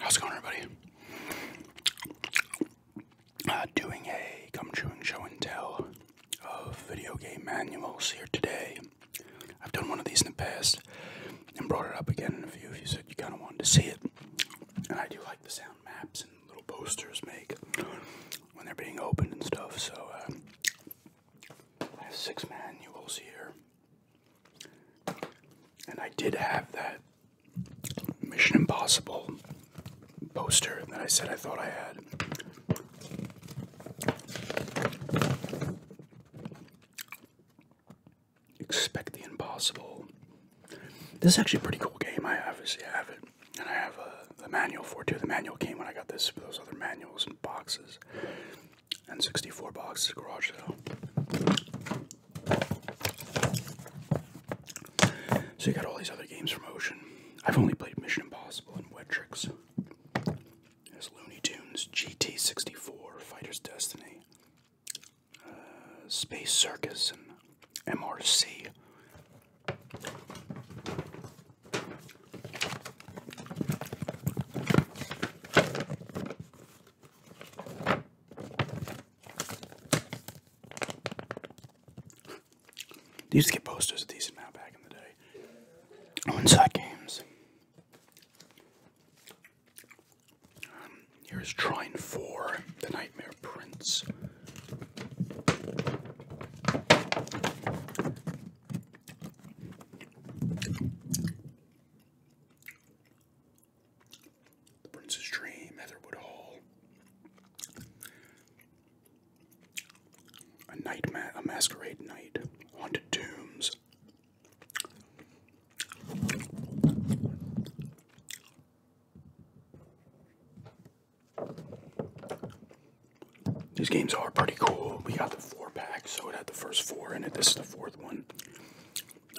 How's it going, everybody? Uh, doing a come true show and tell of video game manuals here today. I've done one of these in the past and brought it up again in a few of you said you kind of wanted to see it. And I do like the sound maps and little posters make when they're being opened and stuff. So uh, I have six manuals here and I did have that Mission Impossible poster that I said I thought I had. Expect the Impossible. This is actually a pretty cool game. I obviously have it. And I have uh, the manual for it too. The manual came when I got this, those other manuals and boxes and 64 box garage sale. So you got all these other games from Ocean. I've only played Mission Impossible and Wet Tricks. There's Looney Tunes, GT64, Fighter's Destiny, uh, Space Circus, and MRC. They used get posters a decent amount back in the day. On Inside Games. here's trying for The Nightmare Prince. The Prince's Dream, Heatherwood Hall. A night a masquerade night, haunted tombs. These games are pretty cool. We got the four pack, so it had the first four in it. This is the fourth one.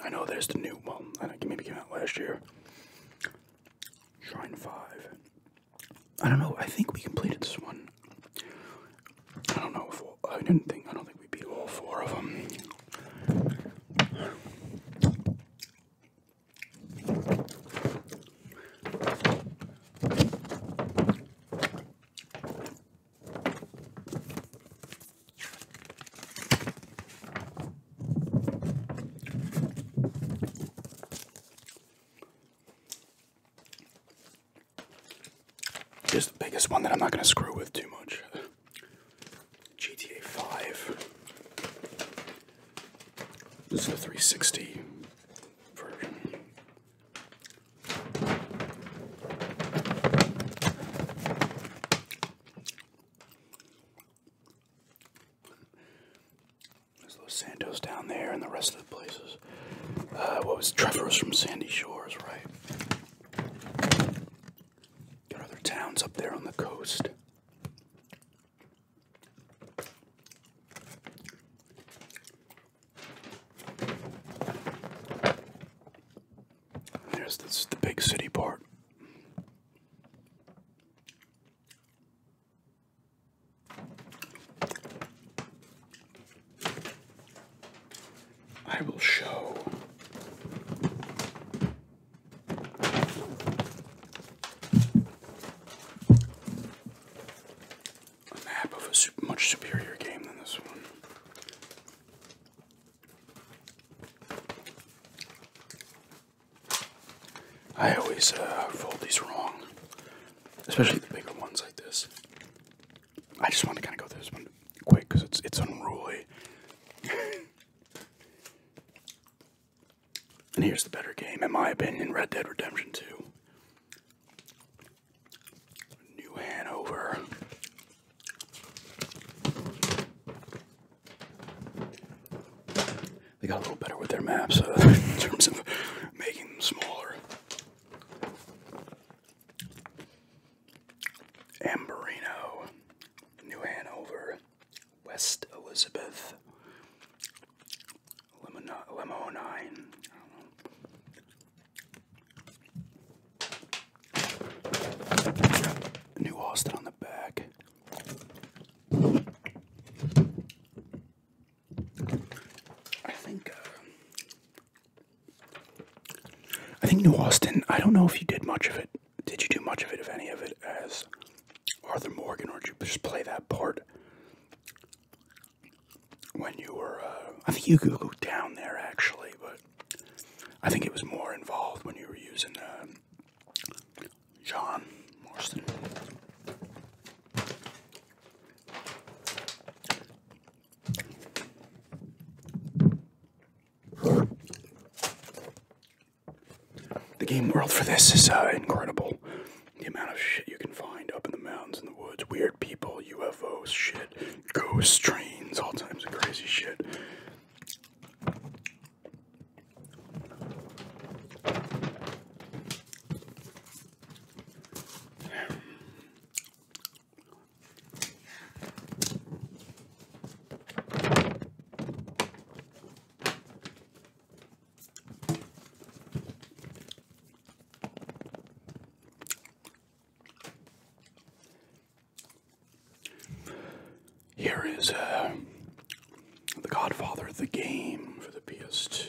I know there's the new one. maybe came out last year. Shrine 5. I don't know. I think we completed this one. I don't know if we I didn't think. I don't think we beat all four of them. Here's the biggest one that I'm not going to screw with too much. GTA 5. This is the 360 version. There's those Santos down there and the rest of the places. Uh, what was Trevor's from Sandy Shores, right? Got other towns up there on the coast. There's the big city part. I will show a map of a much superior game than this one. I always uh, fold these wrong, especially the bigger ones like this. I just want to kind of go through this one quick because it's it's unruly. and here's the better game, in my opinion: Red Dead Redemption Two. New Hanover. They got a little better with their maps uh, in terms of making them smaller. Amberino, New Hanover, West Elizabeth, Lemonine, I New Austin on the back. I think. Uh, I think New Austin. I don't know if you did much of it. Did you do much of it, if any of it, as Arthur Morgan, or did you just play that part when you were? Uh, I think you could go down there actually, but I think it was more involved when you were using um, John Marston. The game world for this is uh, incredible. The amount of shit you can find up in the mountains and the woods, weird people, UFOs, shit ghost trains, all types of crazy shit. Here is uh, The Godfather, the game for the PS2.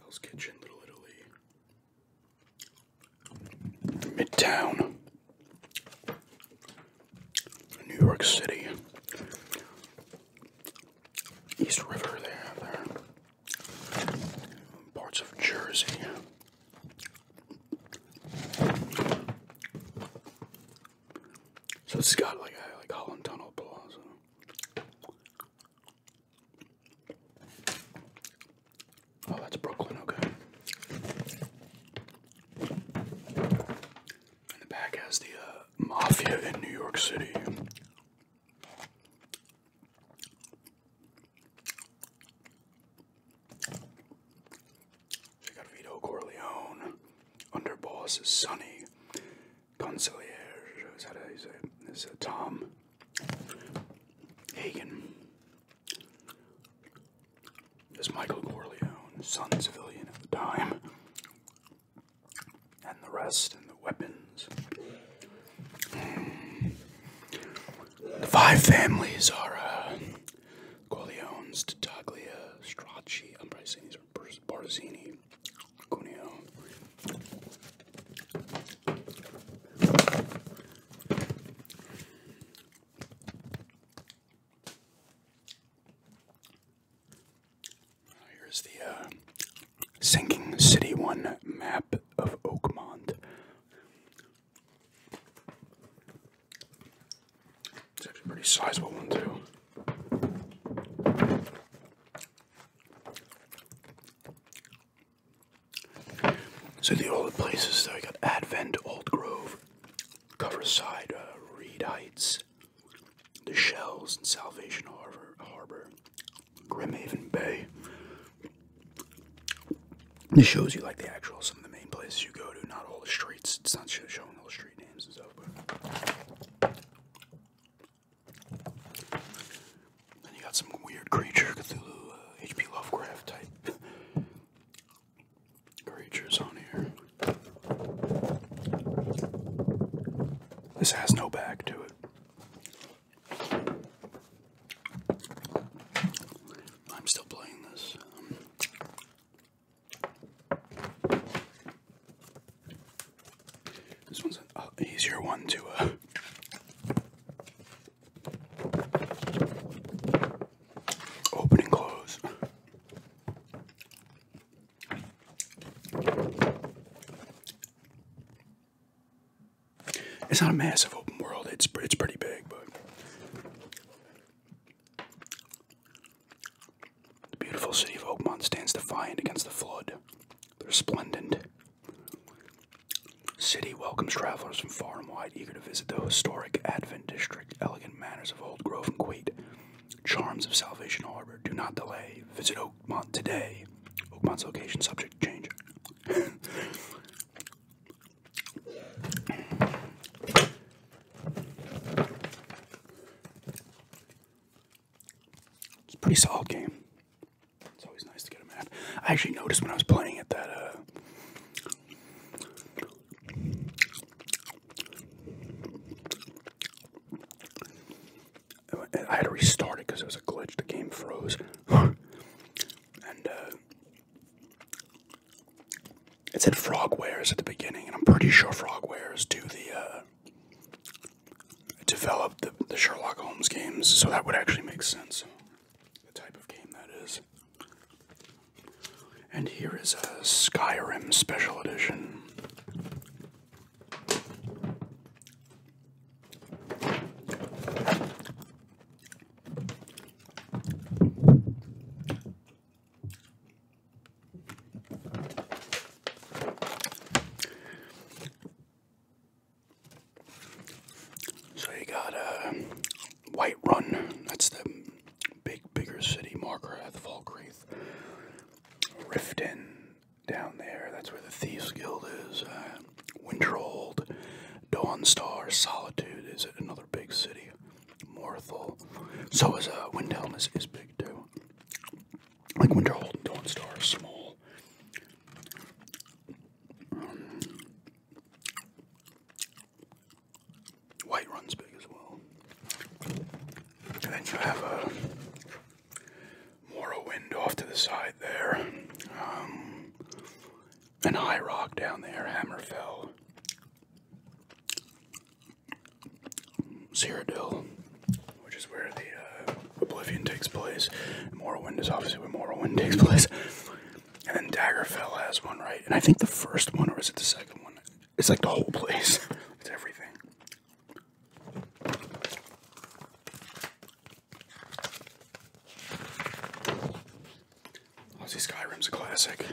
Hell's Kitchen, Little Italy. Midtown, New York City, East River, there, parts of Jersey. So it's got like a like Holland Tunnel Plaza. Oh, that's Brooklyn, okay. And the back has the uh, mafia in New York City. So got Vito Corleone, Underboss is Sonny, Conciliere, is that how Tom Hagen, is Michael Corleone, son civilian at the time, and the rest, and the weapons. The five families are uh, Corleone's, Tattaglia, Stracci, I'm probably saying these are Barzini, Cuneo. Here's the uh, Sinking City 1 map of Oakmont. It's actually a pretty sizable one, too. So the old places, though, I got Advent, Old Grove, cover side, uh, Reed Heights, the Shells, and Salvation Harbor, Harbor, Grimhaven Bay. This shows you like the actual some of the main places you go to, not all the streets. It's not showing all the street names and stuff. But. Then you got some weird creature, Cthulhu, H.P. Uh, Lovecraft type creatures on here. This has no back to it. I'm still playing this. this one's an uh, easier one to uh, Open and close. It's not a massive open world. It's it's pretty big, but the beautiful city of Oakmont stands defiant against the flood. The resplendent city welcomes travelers from far and wide, eager to visit the historic Advent district elegant manners of old grove and quaint charms of Salvation Harbor. Do not delay. Visit Oakmont today. Oakmont's location subject to change. it's a pretty solid game. It's always nice to get a map. I actually noticed when I was playing it that uh, I had to restart it because it was a glitch. The game froze, and uh, it said Frogwares at the beginning, and I'm pretty sure Frogwares do the uh, develop the Sherlock Holmes games, so that would actually make sense. The type of game that is. And here is a Skyrim Special Edition. So you got a uh, White Run, that's the big, bigger city, Margrath, Falkreath, Riften, down there, that's where the Thieves Guild is, uh, Winterold, Dawnstar, Solitude is another big city, Morthal, so is uh, Windhelm is, big too. Like Winterhold and Dawnstar are small. White runs big as well. And then you have a uh, Morrowind off to the side there. Um, and High Rock down there, Hammerfell. Cyrodiil, which is where the uh, Oblivion takes place. Morrowind is obviously where Morrowind takes place. And then Daggerfell has one, right? And I think the first one, or is it the second one? It's like the whole place. it's everything. Oh, Obviously, Skyrim's a classic.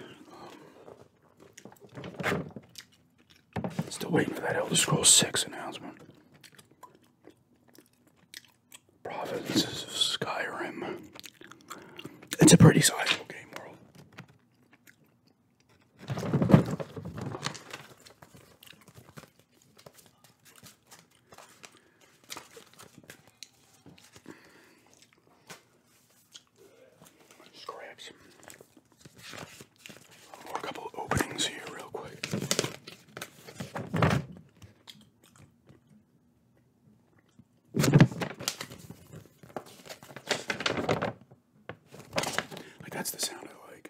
Um, still waiting for that Elder Scrolls 6 announcement. Provinces of Skyrim. It's a pretty sizable game world. Let's couple openings here real quick. Like that's the sound I like.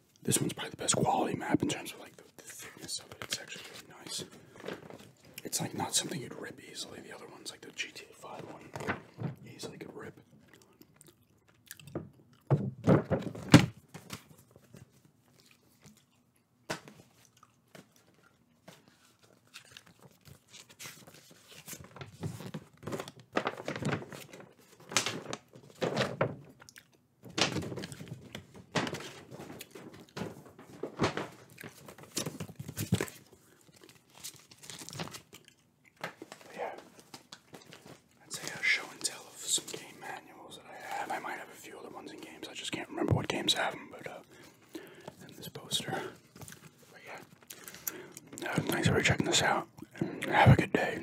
This one's probably the best quality map in terms of like the, thickness of it. It's actually really nice. It's like not something you'd rip easily. The other one's like the GTA 5 one. Easily could rip. Yeah, I'd say a show and tell of some game manuals that I have. I might have a few other ones in games. I just can't remember what games have them, but uh, and this poster. But yeah, thanks for checking this out. Have a good day.